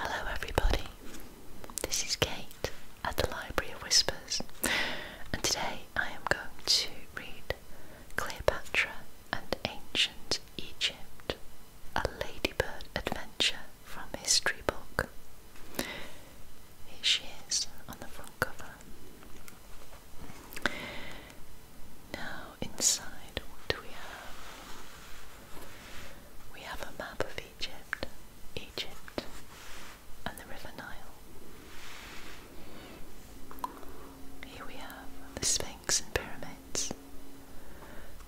Hello, everybody. This is Kate at the Library of Whispers, and today I am going to read Cleopatra and Ancient Egypt A Ladybird Adventure from History Book here she is on the front cover. Now, inside, what do we have? We have a map of Egypt, Egypt, and the River Nile. Here we have the Sphinx and pyramids.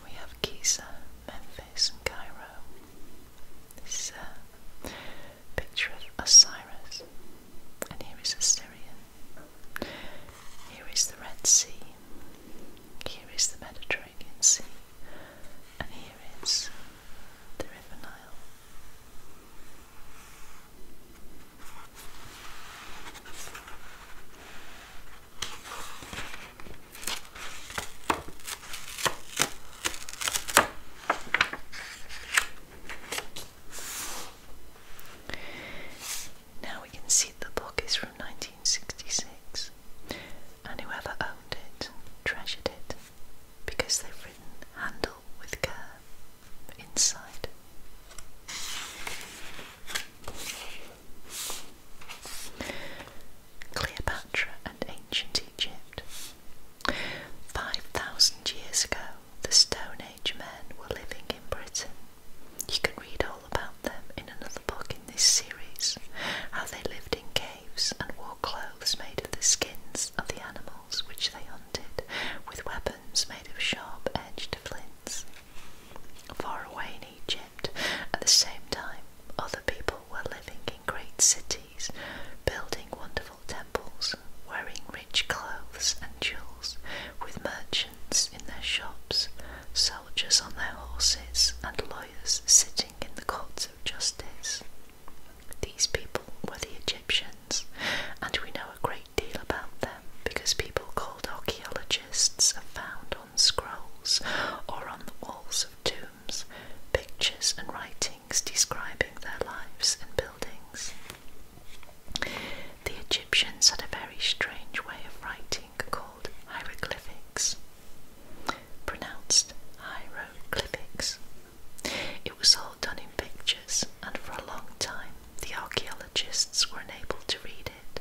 We have Giza, Memphis, and Cairo. This is uh, a picture of Osiris, and here is Assyrian. Here is the Red Sea, here is the Mediterranean Sea, and here is the River Nile. Now we can see the book is from 1966, and whoever owned it treasured it because they've written handle with care inside. Cleopatra and ancient Egypt. Five thousand years ago, the Stone Age men were living in Britain. You can read all about them in another book in this series how they lived in caves and wore clothes made of the skins of the animals which they hunted, with weapons made of sharp edged flints. Far away in Egypt, at the same time, other people were living great cities, building wonderful temples, wearing rich clothes and jewels, with merchants in their shops, soldiers on their horses, and lawyers sitting in the courts of justice. These people were the Egyptians, and we know a great deal about them because people called archaeologists are found on scrolls or on the walls of tombs pictures and writings describing their lives and buildings. The Egyptians had a very strange way of writing called hieroglyphics, pronounced hieroglyphics. It was all done in pictures, and for a long time the archaeologists were unable to read it.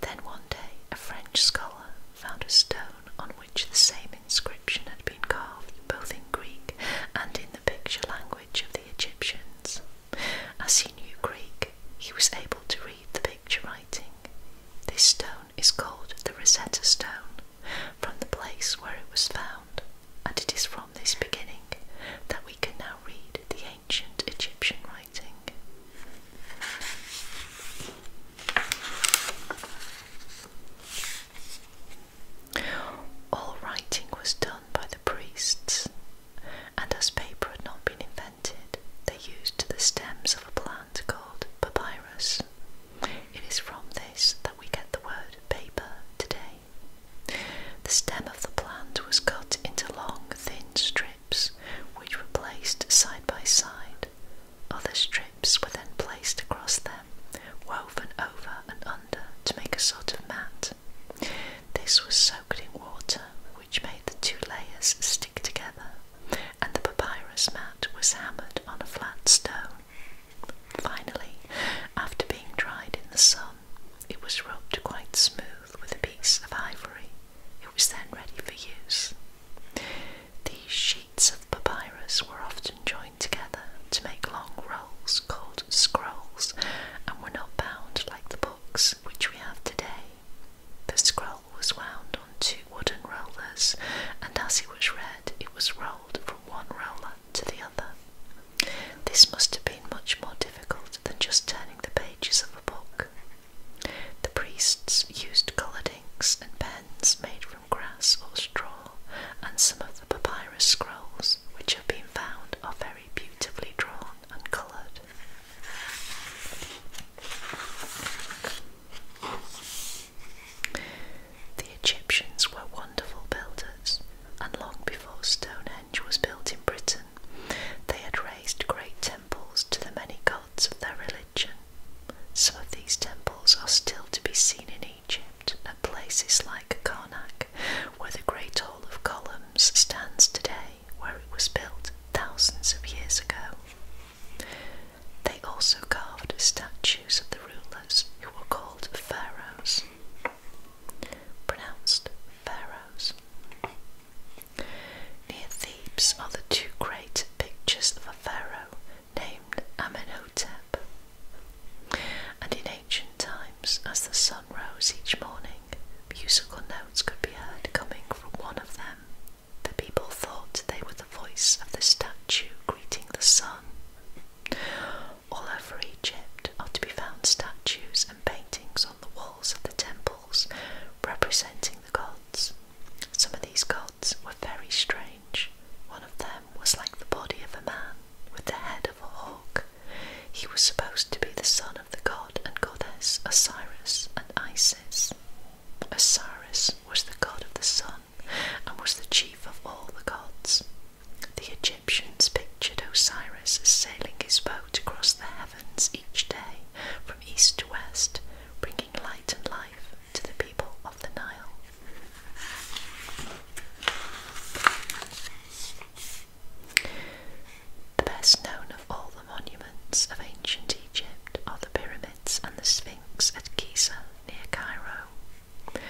Then one day a French scholar found a stone on which the same inscription had been carved, both in Greek and in the picture language of the Egyptians. As he knew Greek, he was able to read the picture writing. This stone is called the Rosetta Stone, from the place where it was found, and it is from this beginning that we can now read the ancient Egyptian writing. All writing was done by the priests, and as paper had not been invented, they used the stems of a plant called papyrus. It is from this that we get the word paper today. The stem of the plant was cut into long, thin strips, which were placed side by side, other strips were then placed across them, woven over and under to make a sort of mat. This was soaked in water, which made the two layers stick together, and the papyrus mat was hammered on a flat stone. Finally, after being dried in the sun, it was rubbed quite smooth with a piece of ivory. It was then ready for use. These sheets of papyrus were often joined together to make long rolls called scrolls and were not bound like the books which we have today. The scroll was wound on two wooden rollers, and as it was read, it was rolled from one roller to the other. This must have been much more difficult than just turning the pages of a book. The priests used coloured inks and pens made from grass or straw, and some of the papyrus scrolls which have been found are very beautifully drawn and coloured. The Egyptians were wonderful builders, and long before Stonehenge was built in Britain, they had raised great temples to the many gods of their religion. Some of these temples are still to be seen in Egypt at places like Karnak, where the Great Hall of Columns stands today, where it was built thousands of years ago. They also carved statues of the rulers who were called pharaohs, pronounced pharaohs are the two great pictures of a pharaoh named Amenhotep. And in ancient times, as the sun rose each morning, musical notes could be heard coming from one of them. The people thought they were the voice of the statue greeting the sun. All over Egypt are to be found statues and paintings on the walls of the temples representing the god. Some of these gods were very strange. One of them was like the body of a man with the head of a hawk. He was supposed to be the son of the god and goddess Osiris and Isis. Osiris was the god of the sun and was the chief of all the gods. The Egyptians pictured Osiris sailing his boat across the heavens each day from east to west, bringing light and life to the people of the Nile. The best known of all the monuments of ancient Egypt are the pyramids and the Sphinx at Giza near Cairo.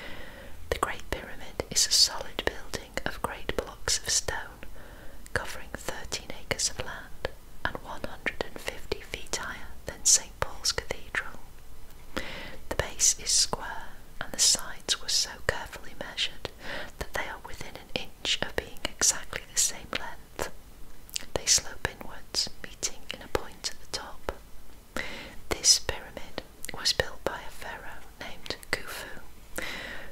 The Great Pyramid is a solid building of great blocks of stone covering 13 acres of land and 150 feet higher than St. Paul's Cathedral. The base is square, and the sides were so carefully measured that they are within an inch of being exactly the same length. They slope inwards, meeting in a point at the top. This pyramid was built by a pharaoh named Khufu,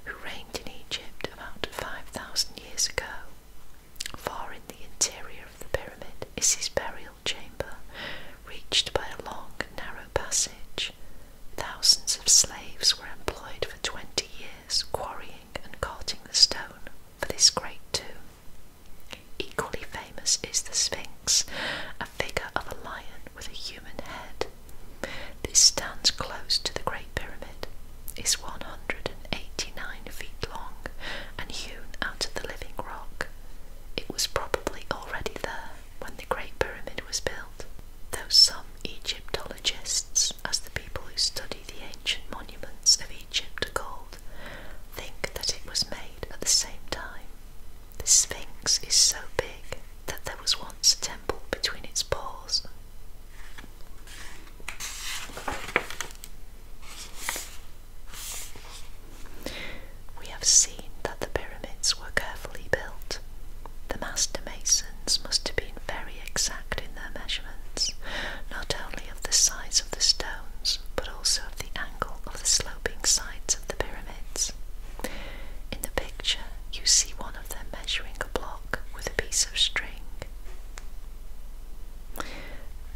who reigned in Egypt about 5,000 years ago. Far in the interior of the pyramid is his burial chamber, reached by a long, narrow passage. Thousands of slaves were employed for twenty years quarrying and carting the stone for this great tomb. Equally famous is the Sphinx, a figure of a lion with a human head. This stands close to the Great Pyramid is 189 feet long and hewn out of the living rock. It was probably already there when the Great Pyramid was built, though some Egyptologists, as the people who study the ancient monuments of Egypt are called, think that it was made at the same time. The Sphinx is so big that there was once a temple between its paws. We have seen that the pyramids were carefully built. The master masons must have been very exact in their measurements, not only of the size of the stones, but also of the angle of the sloping sides of the pyramids. In the picture, you see one of them measuring a block with a piece of string.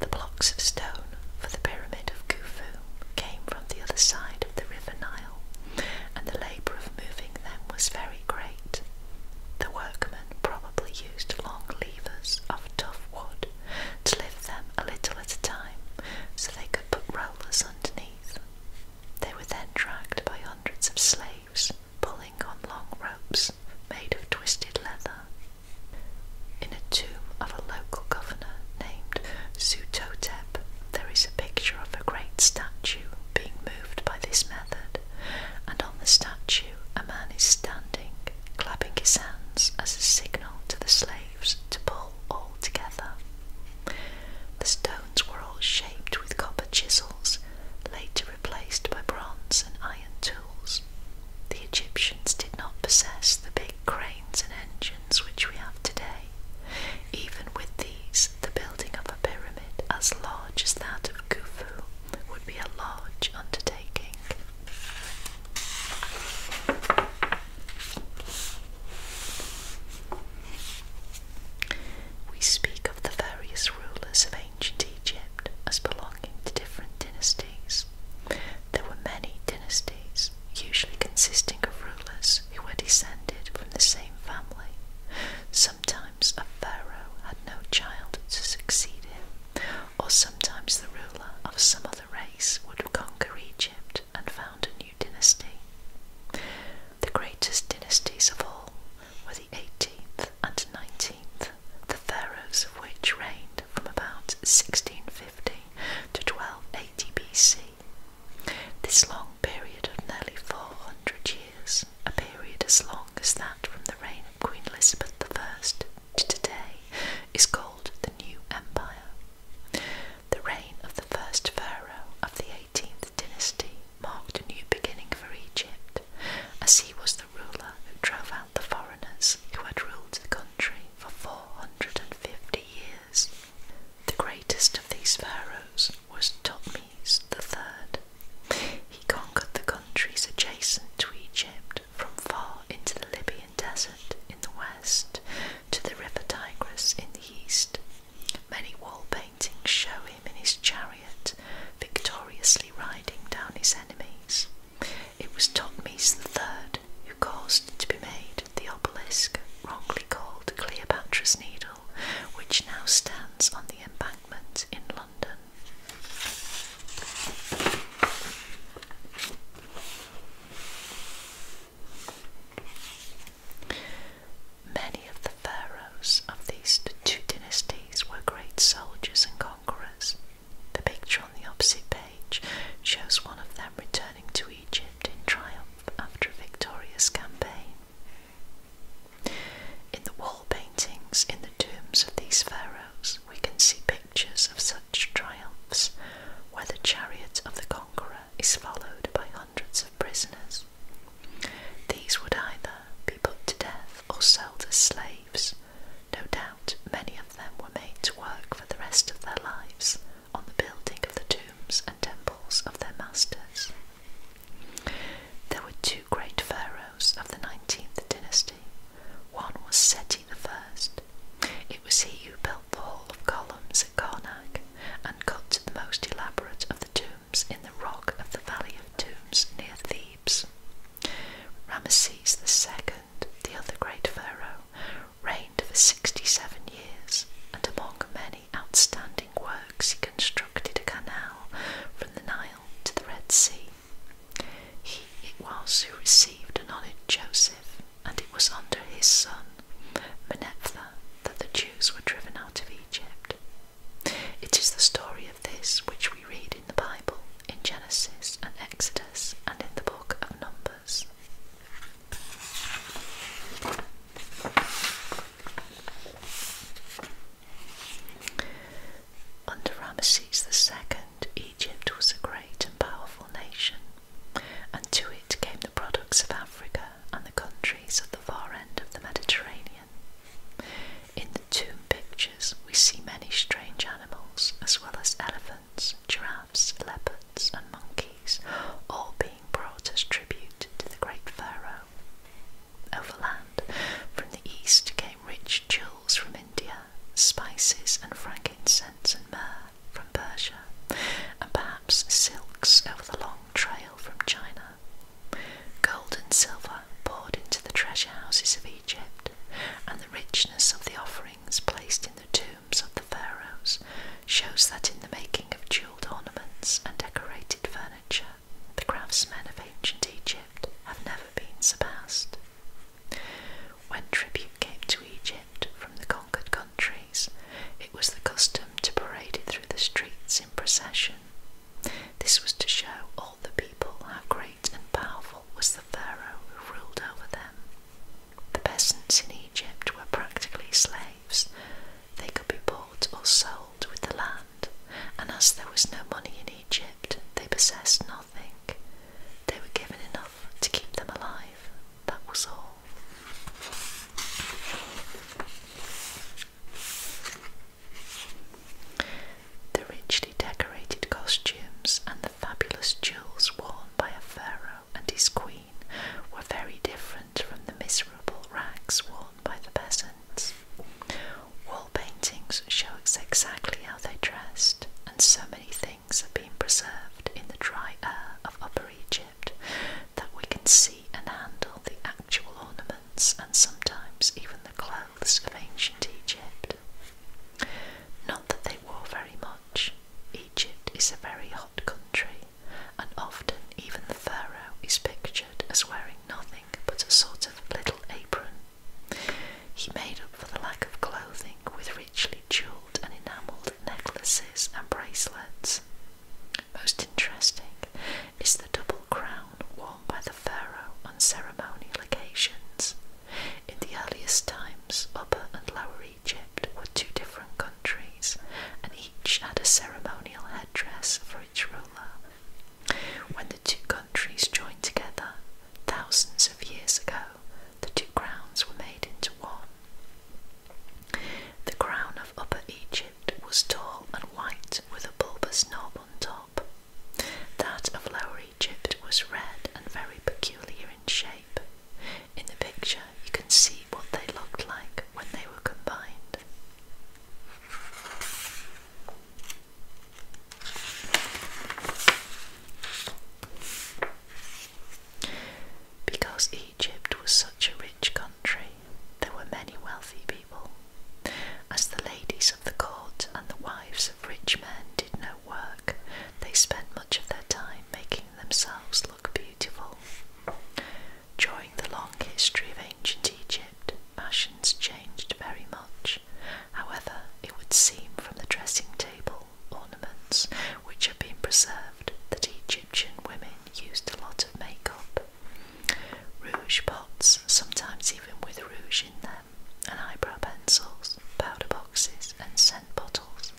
The blocks of stone for the pyramid of Khufu came from the other side of the river Nile, and the labour of moving them was very great. The workmen probably used long levers of tough wood to lift them a little at a time so they could put rollers underneath. They were then dragged by hundreds of slaves pulling on long ropes made of twisted leather. In a tomb of a local governor named Sutotep, there is a picture of a great statue being moved by this method, and on the statue a man is standing, clapping his hands as a signal to the slaves to pull all together. The stones were all shaped with copper chisels, later replaced by bronze and iron tools. The Egyptians did not possess the big cranes and engines which we have today. Even with these, the building of a pyramid as large as that of Khufu would be a large undertaking. We speak of the various rulers of ancient Egypt as belonging to different dynasties. There were many dynasties, usually consisting of rulers who were descended from the same family. Sometimes a pharaoh had no child to succeed him, or sometimes the ruler of some other race would conquer Egypt and found a new dynasty. The greatest dynasties of all were the 18th and 19th, the pharaohs of which reigned from about 1650 to 1280 BC. This long period of nearly 400 years, a period as long as that from the reign of Queen Elizabeth I to today, is called the New Empire. The reign of the first pharaoh of the 18th dynasty marked a new beginning for Egypt as he was the ruler who drove out the foreigners who had ruled the country for 450 years. The greatest of these pharaohs was Thutmese III. He conquered the countries adjacent to Egypt from far into the Libyan desert in the west to the river Tigris in the east. Many wall paintings show in his chariot, victoriously riding down his enemies. It was Totmes III who caused to be made the obelisk, wrongly called Cleopatra's Needle, which now stands on the embankment in London. Many of the pharaohs of these two dynasties were great soldiers and conquerors. The picture on the opposite page shows one of them returning to Egypt in triumph after a victorious campaign. In the wall paintings in the tombs of these pharaohs, we can see pictures of such triumphs, where the chariot of the conqueror is followed by hundreds of prisoners. These would either be put to death or sold as slaves. No doubt many of them were made to work for the rest of their lives on the building of the tombs and temples of their masters. There were two great pharaohs of the 19th dynasty. One was Seti the First. It was he who built the Hall of Columns at Karnak and cut the most elaborate of the tombs in the rock of the Valley of Tombs near Thebes. Ramesses II, the other great pharaoh, reigned for 67 years, and among many outstanding works, he constructed a canal from the Nile to the Red Sea. He it was who received and honoured Joseph, and it was under his son, Menephtha, that the Jews were driven out of Egypt. It is the story of this which we read in the Bible, in Genesis and Exodus, and in the book of Numbers. Under Ramesses II, Egypt was a great and powerful nation, and to it came the products of Africa and the countries of the far end of the Mediterranean. In the tomb pictures, we see many strange animals, as well as elephants, giraffes, leopards, and monkeys, all being brought as tribute to the great pharaoh. Overland, from the east came rich jewels from India, spices and frankincense and myrrh from Persia, and perhaps silks over the long trail from China. Gold and silver poured into the treasure houses of Egypt, and the richness of the offerings placed in the tombs of the pharaohs shows that in the making of jeweled ornaments and decorated furniture, the craftsmen of ancient Egypt have never been surpassed. When tribute came to Egypt from the conquered countries, it was the custom to parade it through the streets in procession, this was to show all the people how great and powerful was the Pharaoh who ruled over them. The peasants in Egypt were practically slaves. They could be bought or sold with the land, and as there was no money in Egypt, they possessed nothing. They were given enough to keep them alive. That was all. The richly decorated costumes and the fabulous jewels worn by a pharaoh and his queen were very different from the miserable rags worn by the peasants. Wall paintings show exactly how they dressed, and so many things have been preserved in the dry air of Upper Egypt that we can see and handle the actual ornaments and sometimes even the clothes of ancient Egypt. Not that they wore very much. Egypt is a very hot country, and often even the pharaoh is pictured as wearing nothing but a sort of little apron. He made up for the lack of clothing with richly jewelled and enamelled necklaces and bracelets. Most interesting is the double crown worn by the pharaoh on ceremonial occasions. In the earliest times, Upper and Lower Egypt were two different countries, and each had a ceremonial headdress for its ruler. When the two countries joined together, thousands of years ago, the two crowns were made into one. The crown of Upper Egypt was tall and white with a bulbous knob on top. That of Lower Egypt was red and very peculiar in shape. In the picture, you can see what they looked like when they were combined. Because Egypt was such a rich country, there were many wealthy people as the ladies of the court and the wives of rich men did no work, they spent much of their time making themselves look beautiful. During the long history of ancient Egypt, fashions changed very much. However, it would seem from the dressing table ornaments which have been preserved that Egyptian women used a lot of makeup. Rouge pots, sometimes even with rouge in them, and eyebrow pencils, powder boxes, and scent bottles,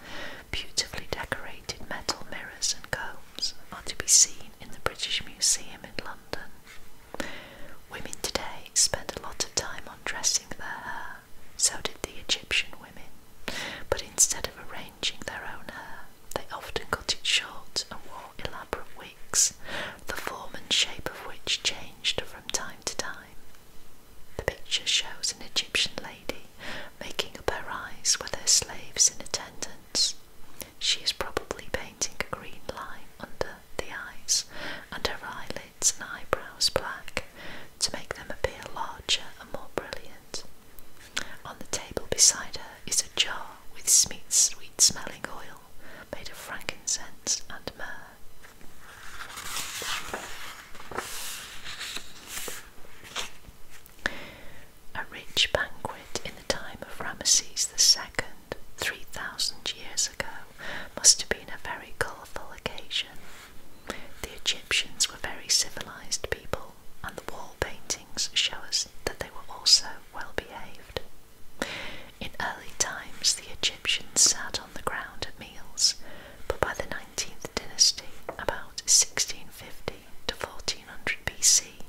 beautifully decorated metal mirrors and combs are to be seen in the British Museum in London. Women today spend a lot of time on dressing their hair, so did the Egyptian women, but instead of arranging their own hair, they often got it short and wore elaborate wigs, the form and shape of which changed from time to time. The picture shows an Egyptian lady making up her eyes with her slaves in attendance. She is probably painting a green line under the eyes and her eyelids and eyebrows black to make them appear larger and more brilliant. On the table beside her is a jar with sweet smelling oil made of frankincense and myrrh. A rich banquet in the time of Ramesses II, 3,000 years ago, must have been a very colourful occasion. The Egyptians were very civilised people, and the wall paintings show us that they were also well behaved. In early times, the Egyptians sat on the ground at meals, but by the 19th dynasty, about 1650 to 1400 BC,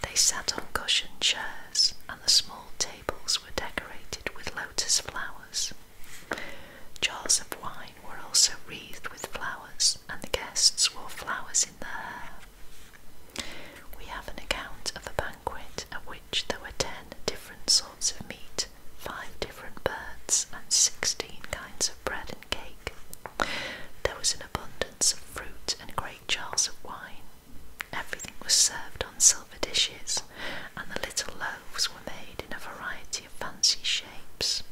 they sat on cushioned chairs and the small tables were decorated with lotus flowers. Jars of wine were also wreathed with flowers, and the guests wore flowers in their hair. We have an account of a banquet at which there were ten different sorts of meat, five different birds, and sixteen kinds of bread and cake. There was an abundance of fruit and great jars of wine. Everything was served on silver dishes, and the little loaves were made in a variety of fancy shapes.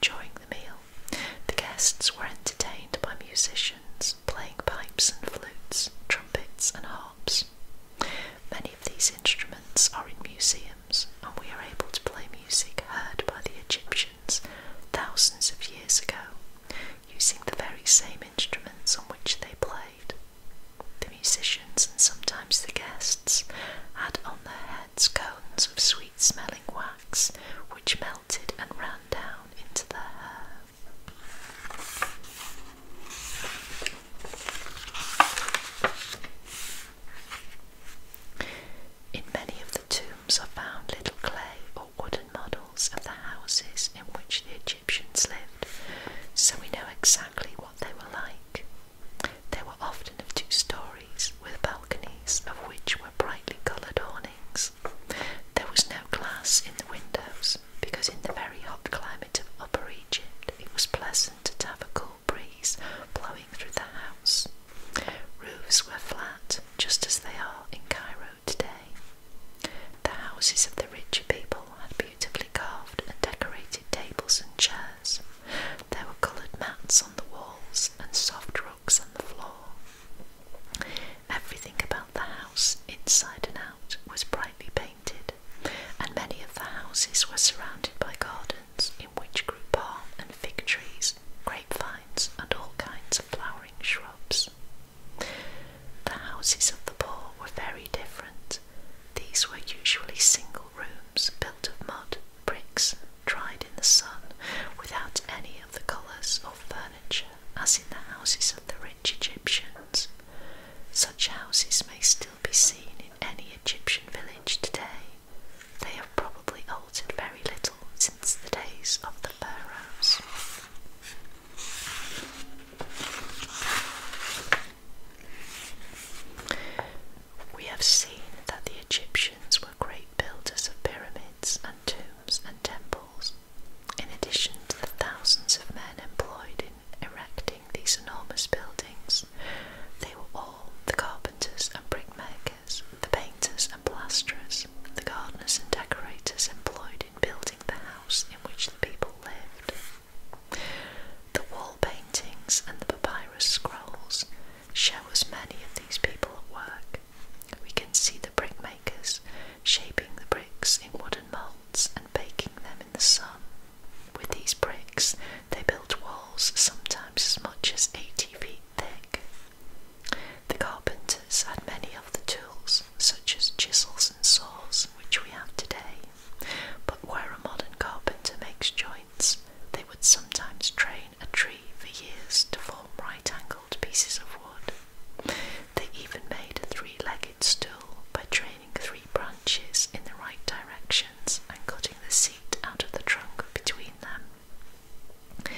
During the meal, the guests were entertained by musicians playing pipes and flutes, trumpets and harps. Many of these instruments are in museums, and we are able to play music heard by the Egyptians thousands of years ago, using the very same instruments on which they played. The musicians and sometimes the guests had on their heads cones of sweet smelling wax which melted and ran down into their hair. In many of the tombs are found little clay or wooden models of the houses in which the Egyptians lived, so we know exactly what they were like. They were often of two stories, with balconies of which were brightly coloured awnings. There was no glass in the windows because, in the very hot climate of Upper Egypt, it was pleasant to have a cool breeze blowing through the house. Roofs were flat, just as they are in Cairo today. The houses of the richer people had beautifully carved and decorated tables and chairs. There were coloured mats on the walls and soft rugs on the floor. Everything about the house, inside and out, was brightly painted, and many of the houses were surrounded by gardens in which grew palm and fig trees, grapevines, and all kinds of flowering shrubs. The houses of the poor were very different. These were usually single rooms built of mud, bricks, dried in the sun, without any of the colours or furniture as in the houses of the rich Egyptians. Such houses may still be seen in any Egyptian village today. They have probably altered very little since the days of the pharaohs. We have seen that the Egyptians were great builders of pyramids and tombs and temples in addition to the thousands of men employed in erecting these enormous buildings. They were all the carpenters and brickmakers, the painters and plasterers, the gardeners and decorators employed in building the house in which the people lived. The wall paintings and the papyrus scrolls show us many of these people at work. We can see the brickmakers shaping the bricks in wooden molds and baking them in the sun. With these bricks, they built walls sometimes as much as 80 feet thick. The carpenters had many of the tools, such as chisels and saws, which we have today, but where a modern carpenter makes joints, they would sometimes train a tree for years to form right angles pieces of wood. They even made a three legged stool by training three branches in the right directions and cutting the seat out of the trunk between them.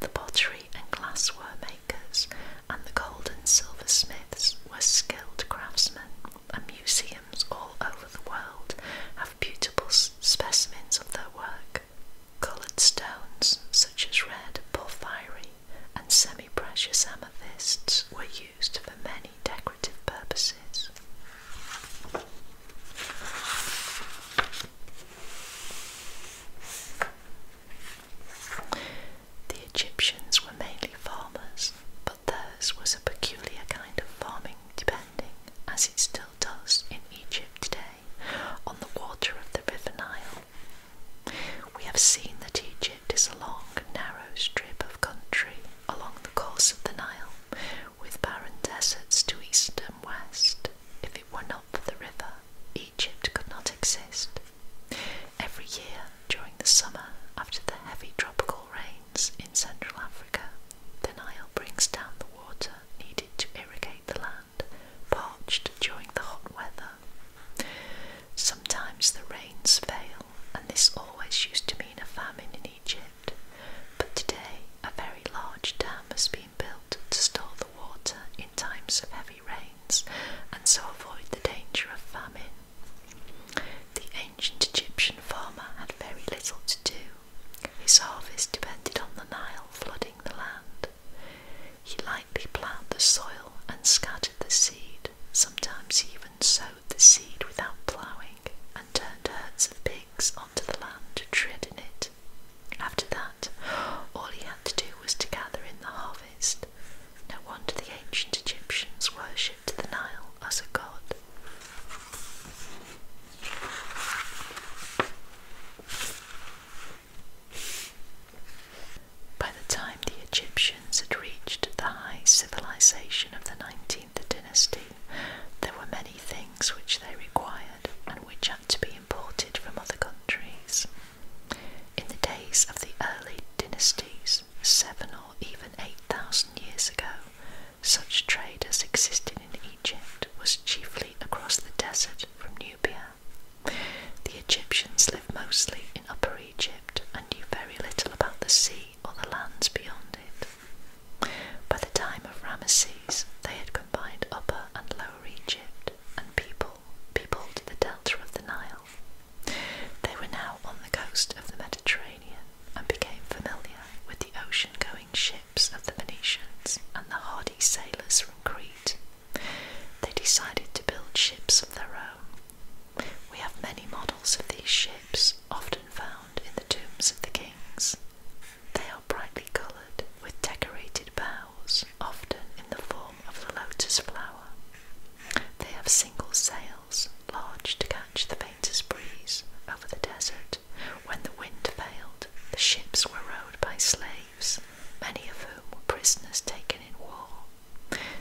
The pottery and glassware makers and the gold and silver smiths were skilled craftsmen, and museums all over the world have beautiful specimens of their work. Coloured stones such as red porphyry and semi-precious amethysts were used for many decorative purposes. The Egyptians were mainly farmers, but theirs was a peculiar kind of farming depending, as it still does in Egypt today, on the water of the River Nile. We have seen that Egypt is a long, narrow strip of country along the course of the Nile, with barren deserts to east and west. If it were not for the river, Egypt could not exist. Every year during the summer, after the heavy tropical rains in Central Africa, the Nile brings down the water needed to irrigate the land parched during the hot weather. Sometimes the rains fail, and this always used to mean a famine in Egypt. But today, a very large dam has been built to store the water in times of heavy rains and so avoid the danger of famine. The ancient Egyptian farmer had very little to do. His harvest depended on the Nile flooding the land, he lightly ploughed the soil and scattered the seed. Sometimes he even sowed the seed without ploughing and turned herds of pigs onto the land to tread in it. After that, all he had to do was to gather in the harvest. No wonder the ancient Egyptians worshipped the Nile as a god. By the time the Egyptians had reached the high civilization of the 19th dynasty, there were many things which they required and which had to be imported from other countries. In the days of the early dynasties, seven or even eight thousand years ago, such trade as existed in Egypt was chiefly across the desert from Nubia the Egyptians lived mostly in Upper Egypt and knew very little about the sea or the lands beyond it. By the time of Ramesses, they had combined Upper and Lower Egypt and people peopled the delta of the Nile. They were now on the coast of the Mediterranean and became familiar with the ocean going ships of the Venetians and the hardy sailors from Crete they decided to build ships of their own. We have many models of these ships, often found in the tombs of the kings. They are brightly coloured with decorated bows, often in the form of the lotus flower. They have single sails, large to catch the faintest breeze over the desert. When the wind failed, the ships were rowed by slaves many of whom were prisoners taken in war.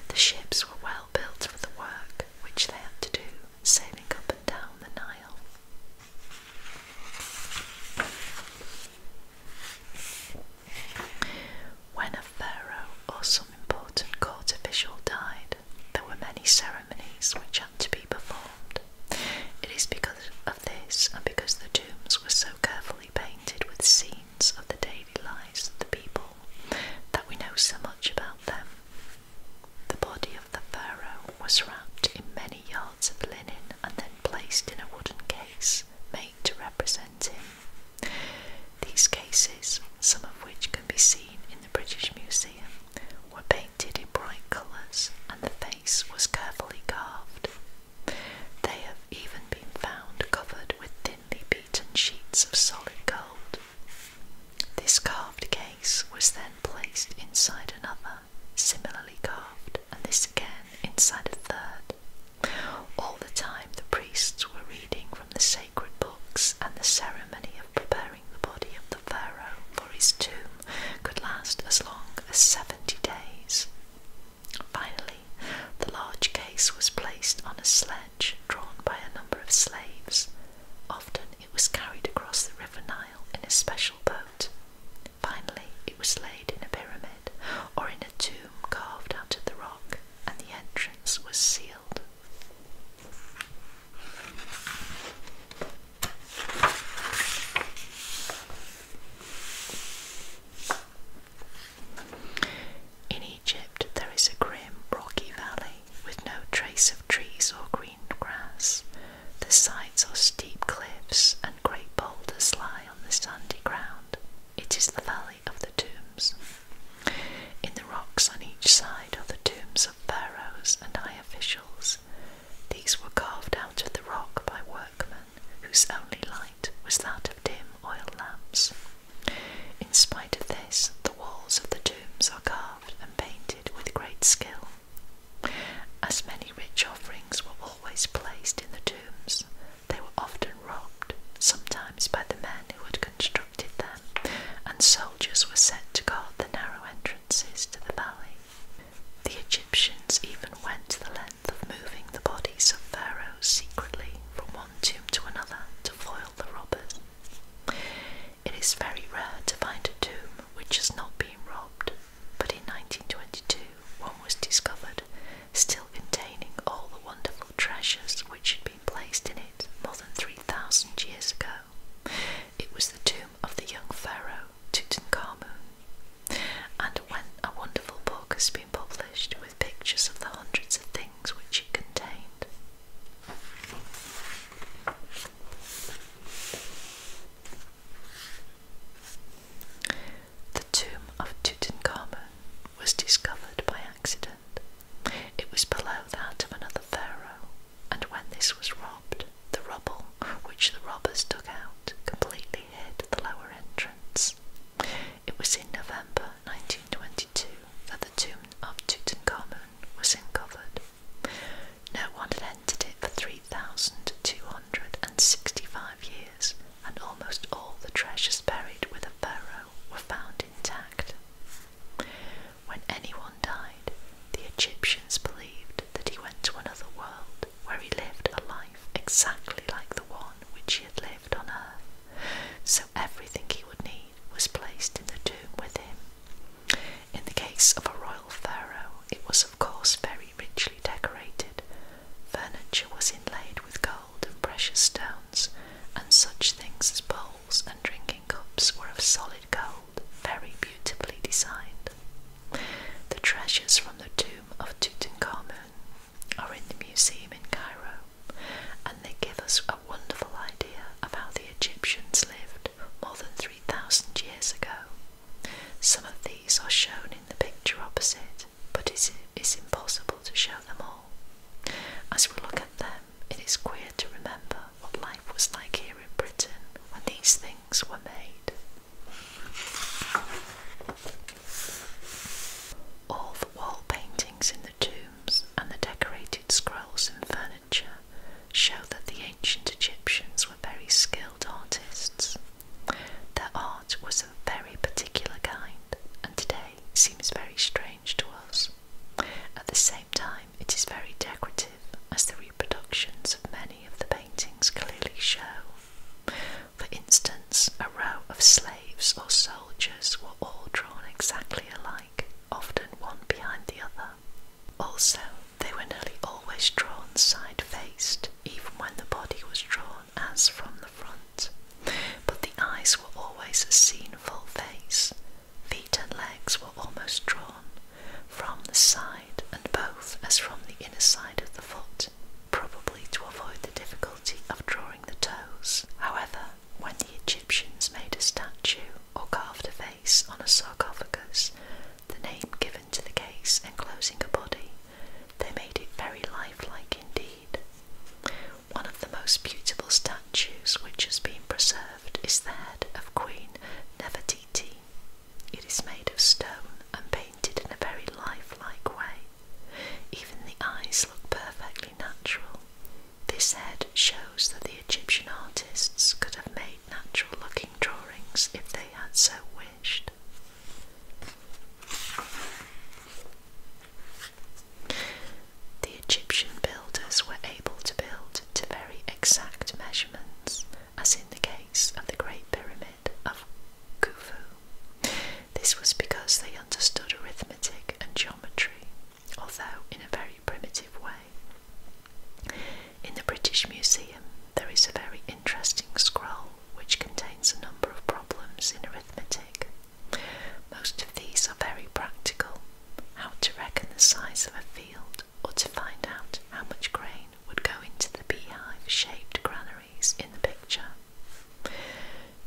The ships were well built for the work which they had to do, sailing up and down the Nile. When a pharaoh or some important court official died, there were many ceremonies which had to be performed. It is because this and because the tombs were so carefully painted with scenes of the daily lives of the people that we know so much about them. The body of the pharaoh was wrapped in many yards of linen and then placed in a wooden case made to represent him. These cases, some of which can be seen in the British Museum, were painted in bright colours and the face was carefully carved. They have even been found covered with thinly beaten sheets of solid gold. This carved case was then placed inside another, similarly carved, and this again inside a third. All the time the priests were reading from the sacred books, and the ceremony of preparing the body of the pharaoh for his tomb could last as long as seventy days. Finally, the large case was placed on a sledge drawn by a number of slaves. Often it was carried across the River Nile in a special boat. Finally, it was laid in a pyramid or in a tomb carved out of the rock, and the entrance was sealed. In Egypt, there is a grim, rocky valley with no trace of trees or green grass. The sides are steep cliffs, and great boulders lie on the sandy ground. It is the Valley of the Tombs. In the rocks on each side are the tombs of pharaohs and high officials. These were carved out of the rock by work whose only light was that of dim oil lamps. In spite of this, the walls of the tombs are carved and painted with great skill. As many rich offerings were always placed in the tombs, they were often robbed, sometimes by the men who had constructed them, and soldiers were set to guard the narrow entrances to the valley. The Egyptians even went the length of moving the bodies of pharaohs secretly from one tomb to another to foil the robbers. It is very rare to find a tomb which has not been robbed, but in 1922 one was discovered, still containing all the wonderful treasures which had been placed in it more than 3,000 years ago. It was the tomb of the young pharaoh Tutankhamun. And when a wonderful book has been published with pictures of the hundreds of things which it contained. The tomb of Tutankhamen was discovered by accident. It was below that of another pharaoh, and when this was robbed, the rubble, which the robbers dug out, completely hid the lower entrance. It was in November 1922 that the tomb of Tutankhamun was uncovered. No one had entered it for 3,265 years, and almost all the treasures buried with a pharaoh were found intact. When anyone died, the Egyptians believed that he went to another world where he lived a life exactly like the one which he had lived on earth. So everything he would need was placed in the tomb with him. In the case of a royal pharaoh, it was of course very richly decorated. Furniture was inlaid with gold and precious stones, and such things as bowls and drinking cups were of solid gold, very beautifully designed. The treasures from the tomb of Tutankhamun are in the museum in Cairo, and they give us a wonderful idea of how the Egyptians lived more than 3,000 years ago. Some of these are shown in the picture opposite, but it is impossible to show them all. As we look at them, it is queer to remember what life was like here in Britain when these things were made. All the wall paintings in the tombs and the decorated scrolls and furniture show that the ancient Egyptians were very skilled artists. Their art was of a very particular kind and today seems very strange to us. At the same time, it is very decorative as the Productions of many of the paintings clearly show. For instance, a row of slaves or soldiers were all drawn exactly alike, often one behind the other. Also, they were nearly always drawn side faced, even when the body was drawn as from the front. But the eyes were always seen full face, feet and legs were almost drawn, from the side and both as from the inner side of the foot, probably to avoid the difficulty of drawing the toes. However, when the Egyptians made a statue or carved a face on a sarcophagus, the name given to the case enclosing a body, they made it very lifelike indeed. One of the most beautiful statues which has been preserved is the head of Queen Nefertiti, it is made of stone and painted in a very lifelike way. Even the eyes look perfectly natural. This head shows that the Egyptian artists could have made natural looking drawings if they had so wished. The Egyptian builders were able to build to very exact measurements, as in the case of the Great Pyramid of Khufu. This was because they understood arithmetic and geometry, although in a very primitive way. In the British Museum, there is a very interesting scroll which contains a number of problems in arithmetic. Most of these are very practical how to reckon the size of a field, or to find out how much grain would go into the beehive shaped granaries in the picture.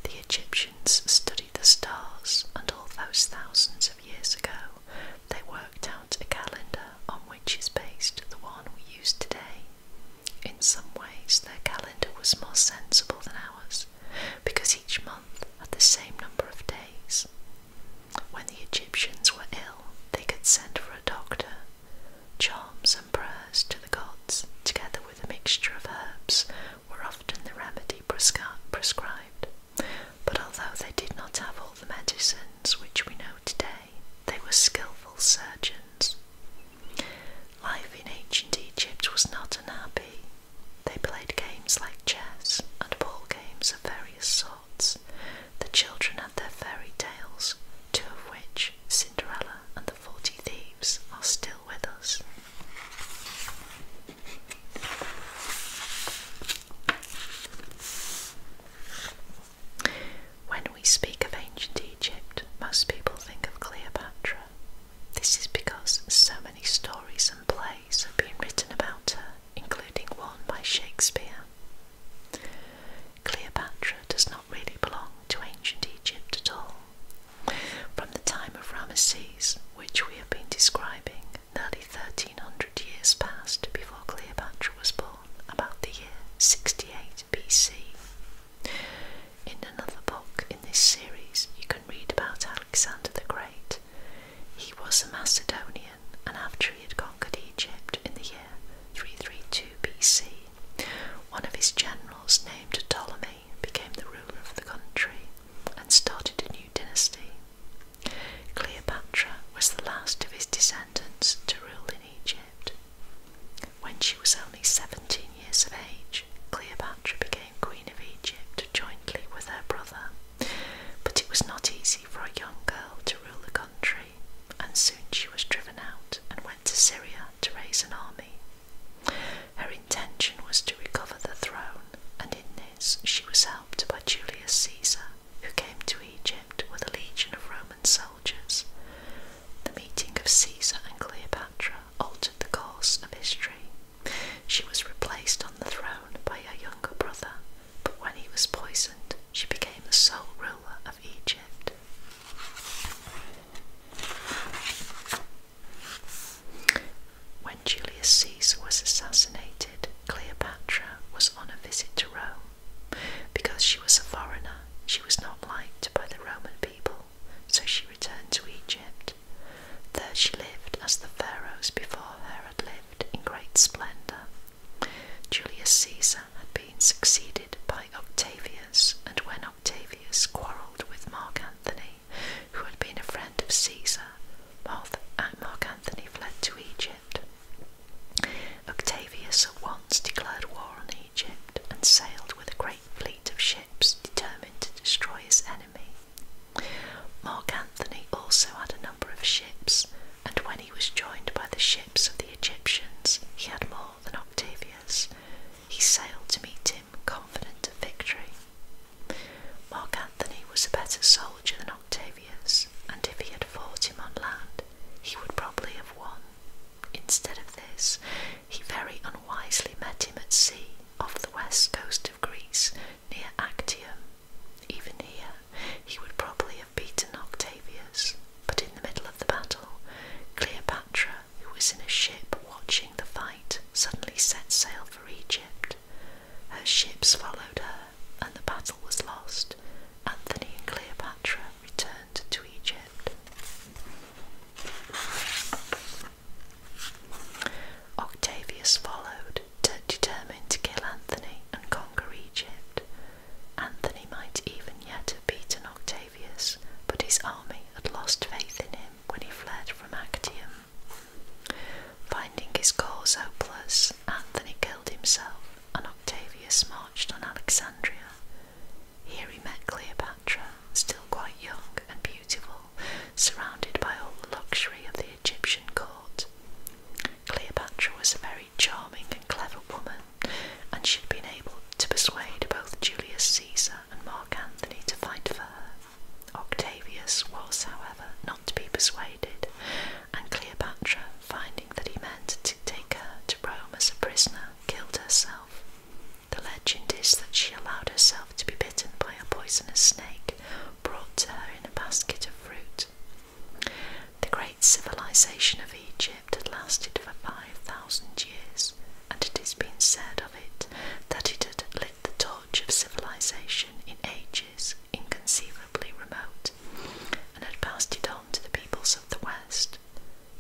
The Egyptians studied the stars, and all those thousands of years ago, they worked out a calendar on which is based the one we use today. In some ways, their calendar was more sensible than ours because each month had the same number of days. When the Egyptians were ill, they could send for a doctor Charms and prayers to the gods, together with a mixture of herbs, were often the remedy prescribed. But although they did not have all the medicines which we know today, they were skilful surgeons. Life in ancient Egypt was not unhappy. They played games like chess and ball games of various sorts the children had their fairy tales, two of which, Cinderella and the Forty Thieves, are still with us. When we speak of ancient Egypt, most people think of Cleopatra. This is because so many stories and plays have been written about her, including one by Shakespeare. Cleopatra does not really belong to ancient Egypt at all. From the time of Ramesses, which we have been describing, nearly 1300 years passed before Cleopatra was born, about the year 68 BC. In another book in this series, you can read about Alexander the Great. He was a Macedonian and after he had conquered Egypt in the year 332 BC, one of his generals named Ptolemy became the ruler of the country and started a new dynasty. Cleopatra was the last of his descendants to rule in Egypt. When she was only 17 years of age, Cleopatra became Queen of Egypt jointly with her brother, but it was not easy for a young girl to rule the country and soon she was driven out and went to Syria to raise an army. Her intention was to recover the throne, and in this she was helped by Julius Caesar, who came to Egypt with a legion of Roman soldiers. The meeting of Caesar and Cleopatra altered the course of history. She was replaced on the throne by her younger brother, but when he was poisoned, she became the sole ruler of Egypt. When Julius Caesar was assassinated, Cleopatra was on a visit to Rome. Because she was a foreigner, she was not liked by the Roman people, so she returned to Egypt. There she lived as the pharaohs before her had lived in great splendour. Julius Caesar had been succeeded by Octavius, and when Octavius quarrelled with Mark Antony, who had been a friend of Caesar, Mark uh, Antony fled to Egypt. Octavius at once declared war on Egypt and sailed with a great fleet of ships determined to destroy his enemy. Mark Antony also had an number of ships, and when he was joined by the ships of the Egyptians, he had more than Octavius. He sailed to meet him, confident of victory. Mark Antony was a better soldier than Octavius, and if he had fought him on land, he would probably have won. Instead of this, he very unwisely met him at sea, off the west coast of Greece, near Actium. Even here, he would probably have beaten Octavius. But in the middle of the battle, Cleopatra, who was in a ship watching the fight, suddenly set sail for Egypt. Her ships followed her, and the battle was lost. Anthony and Cleopatra returned to Egypt. Octavius followed, determined to kill Anthony and conquer Egypt. Anthony might even yet have beaten Octavius, but his army had lost faith in him when he fled from Actium. Finding his cause hopeless, Anthony killed himself and Octavius marched on Alexandria. Here he met Cleopatra, still quite young and beautiful, surrounded by all the luxury of the Egyptian court. Cleopatra was a very charming and clever woman, and she had been able to persuade both Julius Caesar and Mark Antony to fight for her. Octavius was, however, not to be persuaded, and Cleopatra, finding that he meant to take her to Rome as a prisoner, killed herself. The legend is that she allowed herself to be bitten by a poisonous snake brought to her in a basket of fruit. The great civilization of Egypt had lasted for 5,000 years, and it has been said of it that it had lit the torch of civilization in ages inconceivably remote and had passed it on to the peoples of the West.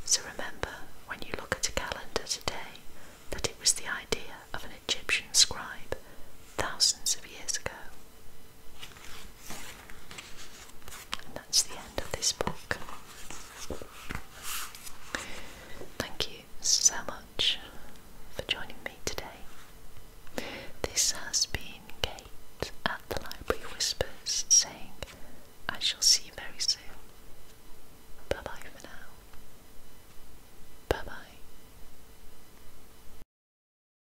So remember, when you look at a calendar today, that it was the idea of an Egyptian scribe thousands of years ago. And that's the end of this book. Thank you so much for joining me today. This has been Kate at the Library Whispers saying, I shall see you very soon. Bye bye for now. Bye bye.